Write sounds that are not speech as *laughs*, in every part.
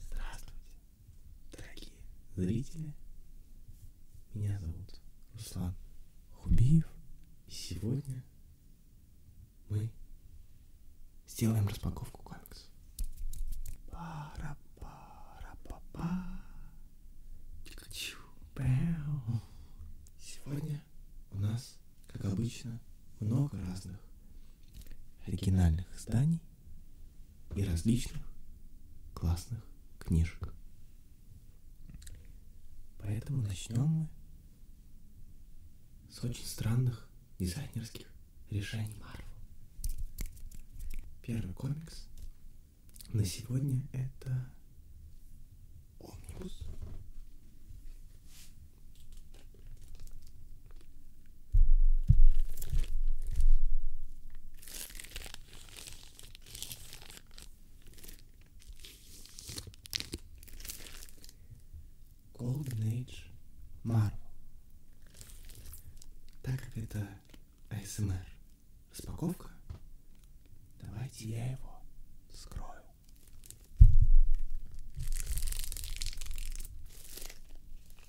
Здравствуйте, дорогие зрители! Меня зовут Руслан Хубиев, и сегодня мы сделаем распаковку комикса. Пара, пара, па, па. Чикачу, Сегодня у нас, как обычно, много разных оригинальных изданий и различных классных книжек. Поэтому начнем мы с очень странных дизайнерских решений Марвел. Первый комикс на сегодня это Омнибус. Golden Age Marvel. Так как это ASMR распаковка, давайте я его скрою.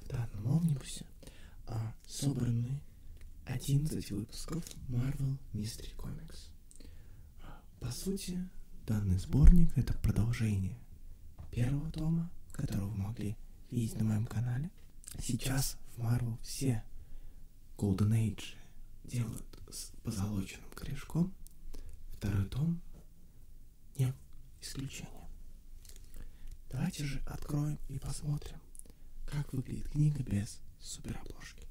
В данном омнибусе а, собраны 11 выпусков Marvel Mystery Comics. А, по сути, данный сборник это продолжение первого тома, которого вы могли видеть на моем канале. Сейчас в Marvel все Golden Age делают с позолоченным корешком. Второй том не исключение. Давайте же откроем и посмотрим, как выглядит книга без суперобложки.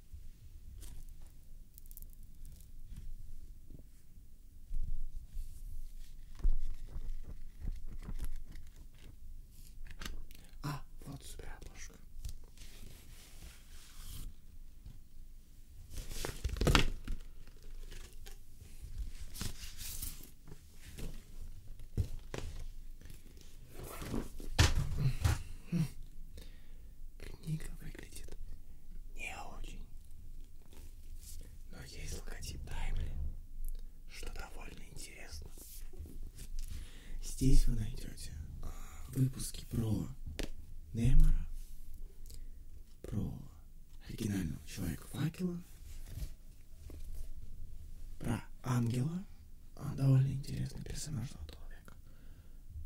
А, вот сюда обложка. Книга выглядит не очень, но есть логотип Таймли, что довольно интересно. Здесь вы найдете а, выпуски про Немора, про оригинального человека факела, про ангела, а, довольно интересный персонаж человека,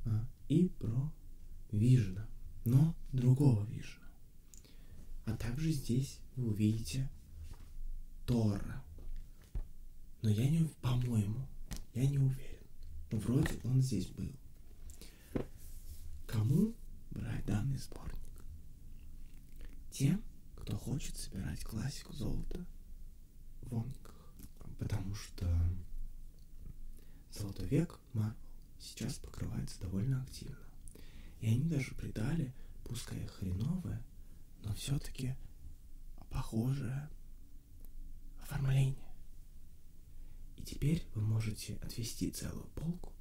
а, и про Вижена, но другого Вижена. А также здесь вы увидите Тора, но я не, по-моему, я не уверен. Но ну, вроде он здесь был. Кому брать данный сборник? Тем, кто хочет собирать классику золота в онках. Потому что золотой век Марвел сейчас покрывается довольно активно. И они даже придали, пускай хреновое, но все-таки похожее оформление. И теперь вы можете отвести целую полку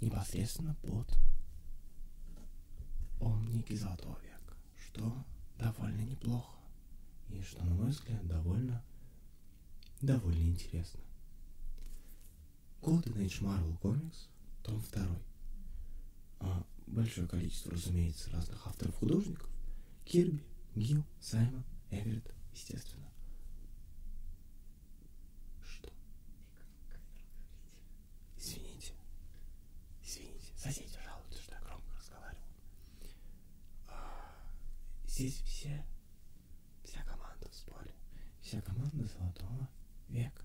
непосредственно под омники Золотого века, что довольно неплохо и что, на мой взгляд, довольно, довольно интересно. Golden Age Marvel Comics, том 2 а, большое количество, разумеется, разных авторов-художников. Кирби, Гил, Саймон, Эверетт, естественно. Что? Извините. Извините. Соседи жалуются, что я громко разговаривал. А, здесь все, вся команда в сборе. Вся команда Золотого века.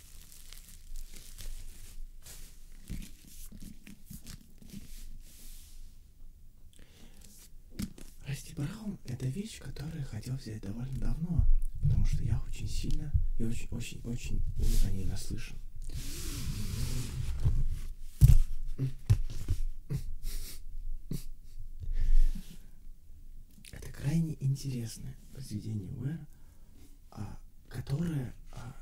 Растибраум – это вещь, которую я хотел взять довольно давно, потому что я очень сильно и очень-очень-очень о ней наслышан. Это крайне интересное произведение Уэра, а, которая, а,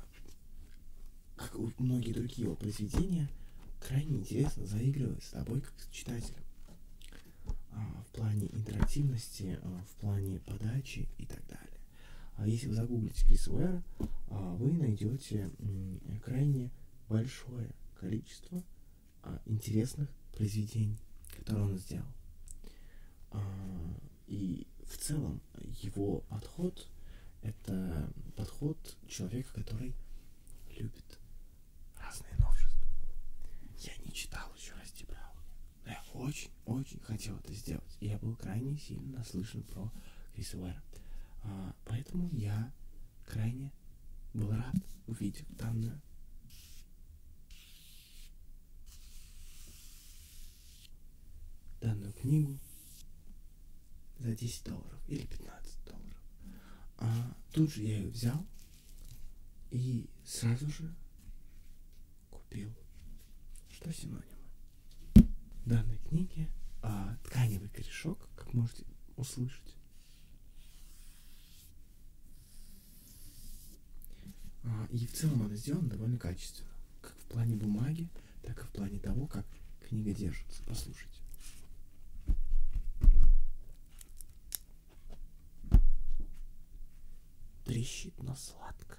как и многие другие его произведения, крайне интересно заигрывает с тобой как с читателем. А, в плане интерактивности, в плане подачи и так далее. Если вы загуглите Крис Уэра, вы найдете крайне большое количество интересных произведений, которые он сделал. И в целом его подход – это подход человека, который любит разные новшества. Я не читал еще Расти Брауна, но я очень-очень хотел это сделать. И я был крайне сильно наслышан про Криса Уэра. А, поэтому я крайне был рад увидеть данную данную книгу за 10 долларов или 15 долларов. А тут же я ее взял и сразу же купил. Что синонимы? В данной книге а, тканевый корешок, как можете услышать. А, и в целом это сделано довольно качественно, как в плане бумаги, так и в плане того, как книга держится. Послушайте. Трещит, но сладко.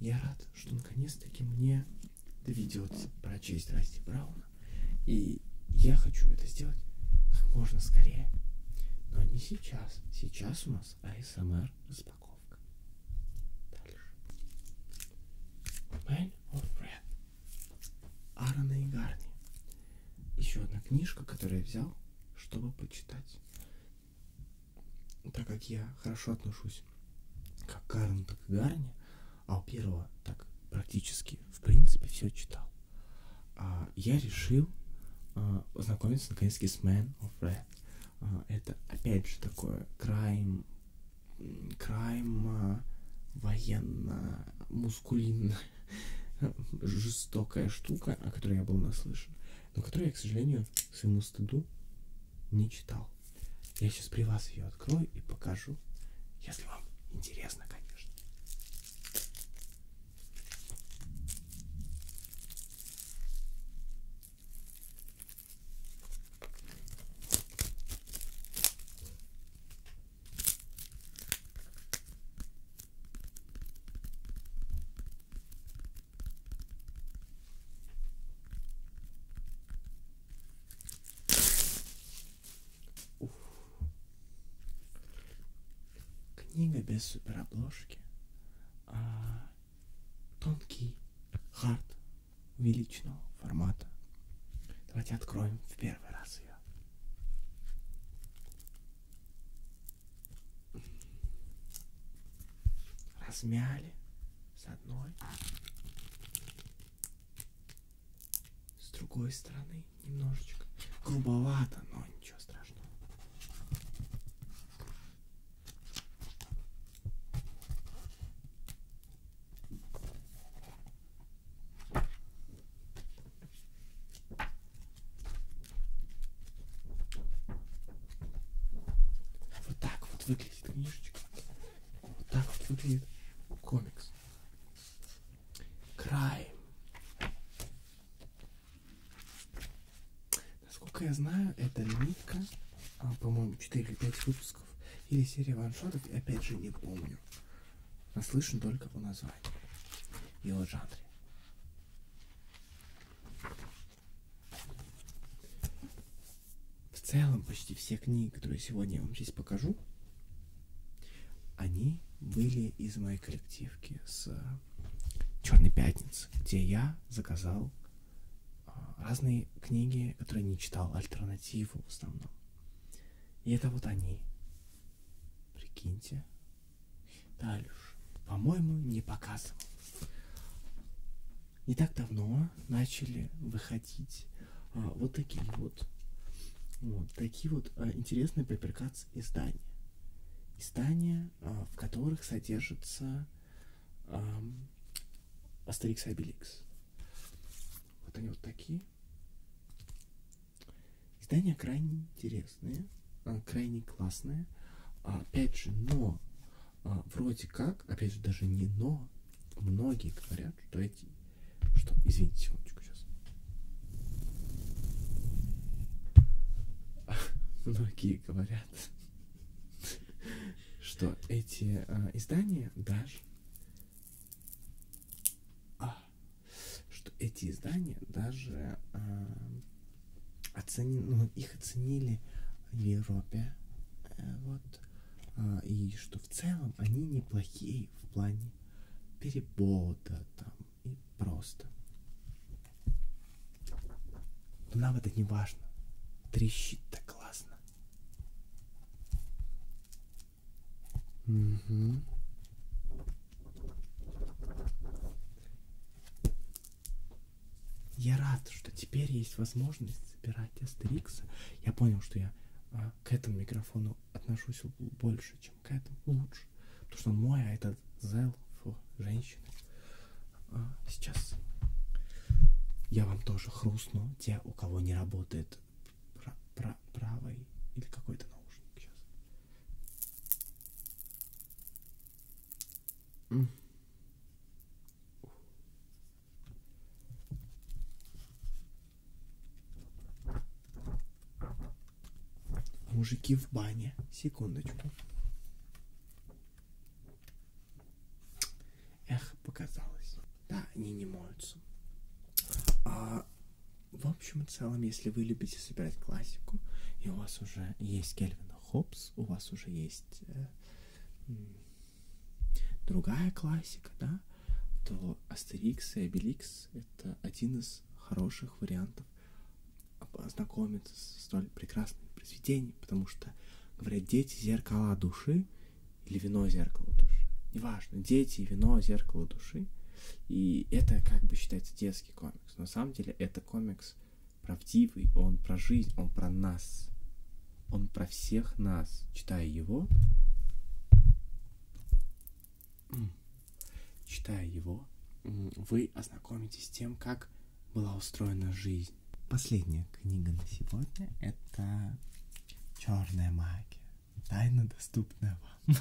Я рад, что наконец-таки мне доведется прочесть Расти Брауна. И я хочу это сделать как можно скорее. Но не сейчас. Сейчас у нас АСМР распаковка. Дальше. Man of Red. Аарона и Гарни. Еще одна книжка, которую я взял, чтобы почитать так как я хорошо отношусь как к Арну, так и Гарне, а у первого так практически, в принципе, все читал, а, я решил а, познакомиться наконец-таки с Man of Red. А, это, опять же, такое крайм, крайм а, военно мускулинная *laughs* жестокая штука, о которой я был наслышан, но которой я, к сожалению, своему стыду не читал. Я сейчас при вас ее открою и покажу, если вам интересно, конечно. Уф. Книга без суперобложки. А, тонкий хард увеличенного формата. Давайте откроем в первый раз ее. Размяли с одной, с другой стороны немножечко. Грубовато, но ничего страшного. Вот так вот выглядит книжечка. Вот так вот выглядит комикс. Край. Насколько я знаю, это нитка, а, по-моему, 4 или 5 выпусков. Или серия ваншотов, я опять же не помню. Наслышан только по названию и о жанре. В целом почти все книги, которые сегодня я вам здесь покажу, они были из моей коллективки с э, Черной Пятницы, где я заказал э, разные книги, которые не читал, альтернативу в основном. И это вот они. Прикиньте. Талюш, по-моему, не показывал. Не так давно начали выходить а, вот такие вот, вот такие вот а, интересные приприкации издания. Издания, а, в которых содержится а, Астерикс и Обеликс. Вот они вот такие. Издания крайне интересные, а, крайне классные. А, опять же, но а, вроде как, опять же, даже не но, многие говорят, что эти, что, извините, секундочку сейчас. *laughs* Многие говорят, *laughs* что эти а, издания даже, а, что эти издания даже а, оцени, ну, их оценили в Европе, э, вот, а, и что в целом они неплохие в плане перевода там и просто. Но нам это не важно. Трещит так классно. Угу. Я рад, что теперь есть возможность собирать Астерикса. Я понял, что я а, к этому микрофону отношусь больше, чем к этому. Лучше. Потому что он мой, а этот зел женщины. А, сейчас я вам тоже хрустну. Те, у кого не работает пра пра правый или какой-то наушник сейчас. Mm. Мужики в бане. Секундочку. Эх, показалось. Да, они не моются. А, в общем и целом, если вы любите собирать классику, и у вас уже есть Кельвин Хопс, у вас уже есть есть э, другая классика, да, то Астерикс и Обеликс это один из хороших вариантов ознакомиться с столь прекрасным произведением, потому что, говорят, дети зеркала души или вино зеркало души. Неважно, дети, вино, зеркало души. И это как бы считается детский комикс. Но на самом деле это комикс правдивый, он про жизнь, он про нас. Он про всех нас. Читая его, читая его, вы ознакомитесь с тем, как была устроена жизнь. Последняя книга на сегодня — это «Черная магия. Тайна, доступная вам».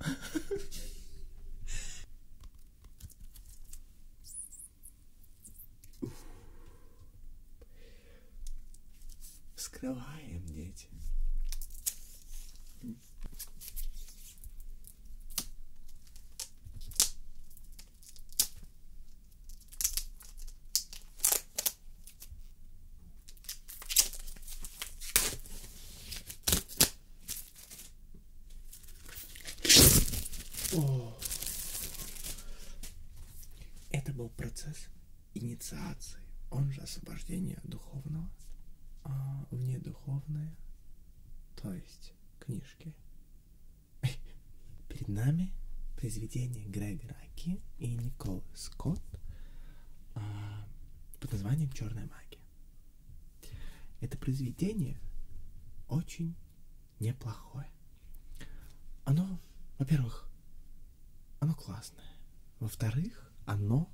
*laughs* Вскрываем, дети. О. Это был процесс инициации, он же освобождение духовного, а вне духовное, то есть книжки. Перед нами произведение Грега Раки и Николы Скотт а, под названием «Черная магия». Это произведение очень неплохое. Оно, во-первых, оно классное. Во-вторых, оно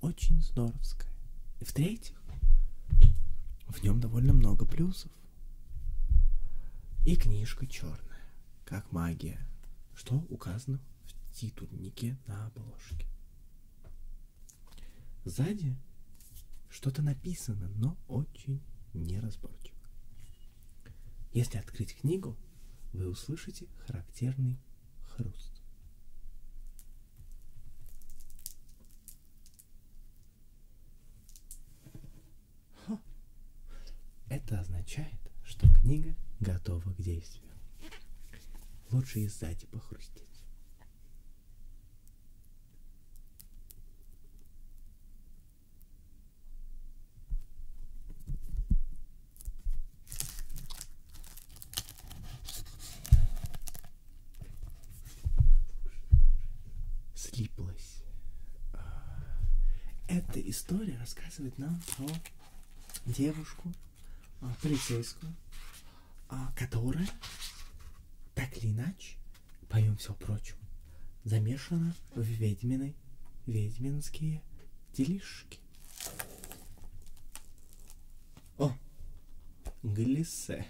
очень здоровское. И в-третьих, в нем довольно много плюсов. И книжка черная, как магия, что указано в титульнике на обложке. Сзади что-то написано, но очень неразборчиво. Если открыть книгу, вы услышите характерный хруст. Ха. Это означает, что книга готова к действию. Лучше и сзади похрустеть. Слиплась. А, эта история рассказывает нам про девушку, а, полицейскую, а, которая так или иначе, помимо всего прочего, замешана в ведьминой, ведьминские делишки. О, глиссе.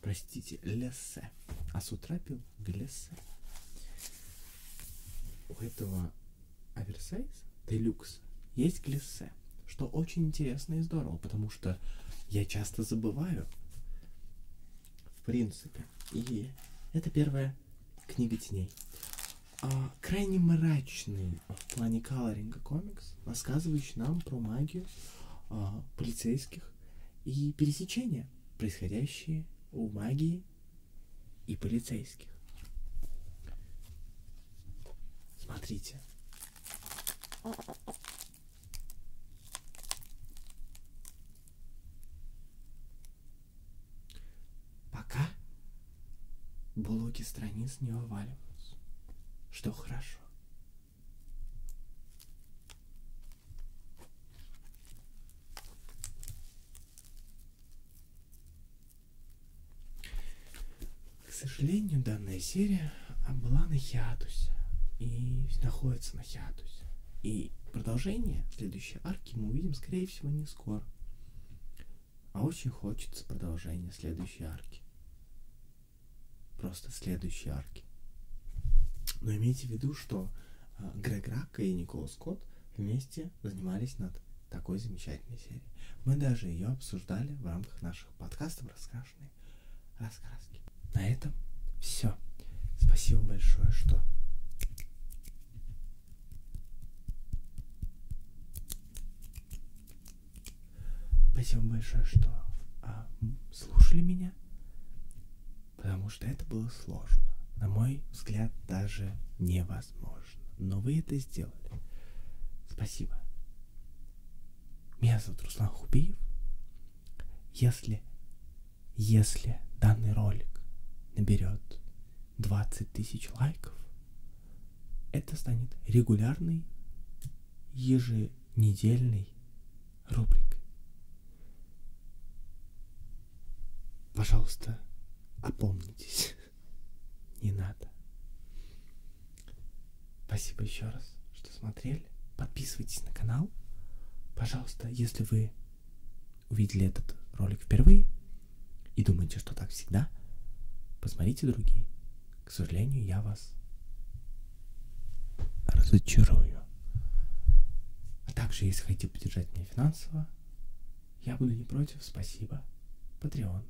Простите, лессе. А с утра пил глиссе. У этого оверсайз, делюкс, есть глиссе время, что очень интересно и здорово, потому что я часто забываю, в принципе. И это первая книга теней. А, крайне мрачный в плане колоринга комикс, рассказывающий нам про магию а, полицейских и пересечения, происходящие у магии и полицейских. Смотрите. Пока блоки страниц не вываливаются, что хорошо. К сожалению, данная серия а, была на хиатусе и находится на хиатусе. И продолжение следующей арки мы увидим, скорее всего, не скоро. А очень хочется продолжения следующей арки. Просто следующей арки. Но имейте в виду, что а, Грег Ракка и Никола Скотт вместе занимались над такой замечательной серией. Мы даже ее обсуждали в рамках наших подкастов, раска страшной раскраски. На этом все. Спасибо большое, что Спасибо большое, что а, слушали меня, потому что это было сложно. На мой взгляд, даже невозможно. Но вы это сделали. Спасибо. Меня зовут Руслан Хубиев. Если, если данный ролик наберет 20 тысяч лайков, это станет регулярной еженедельной рубрикой. Пожалуйста, опомнитесь. *laughs* Не надо. Спасибо еще раз, что смотрели. Подписывайтесь на канал. Пожалуйста, если вы увидели этот ролик впервые и думаете, что так всегда, посмотрите другие. К сожалению, я вас разочарую. А также, если хотите поддержать меня финансово, я буду не против. Спасибо. Patreon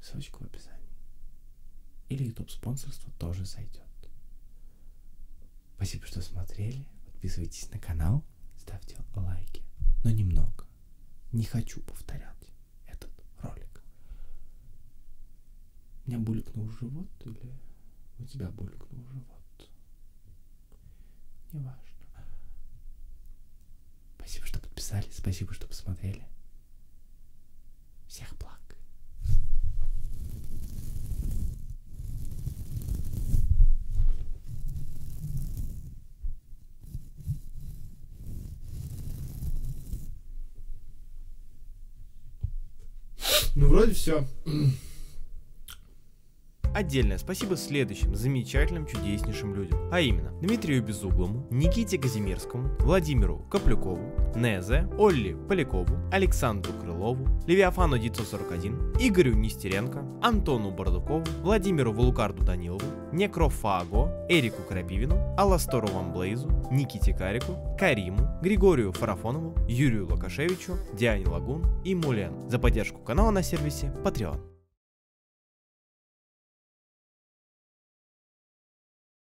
ссылочку в описании. Или YouTube спонсорство тоже сойдет. Спасибо, что смотрели. Подписывайтесь на канал, ставьте лайки. Но немного. Не хочу повторять этот ролик. У меня булькнул живот или у тебя булькнул живот? Неважно. Спасибо, что подписались. Спасибо, что посмотрели. Всех благ. Ну, вроде все. Отдельное спасибо следующим замечательным, чудеснейшим людям, а именно Дмитрию Безуглому, Никите Казимирскому, Владимиру Владимиру Каплюкову, Незе, Олли Полякову, Александру Крылову, Левиафану 941, Игорю Нестеренко, Антону Бардукову, Владимиру Вулукарду Данилову, Некрофаго, Эрику Крапивину, Аластору Вамблейзу, Никите Карику, Кариму, Григорию Фарафонову, Юрию Лукашевичу, Диане Лагун и Мулен за поддержку канала на сервисе Patreon.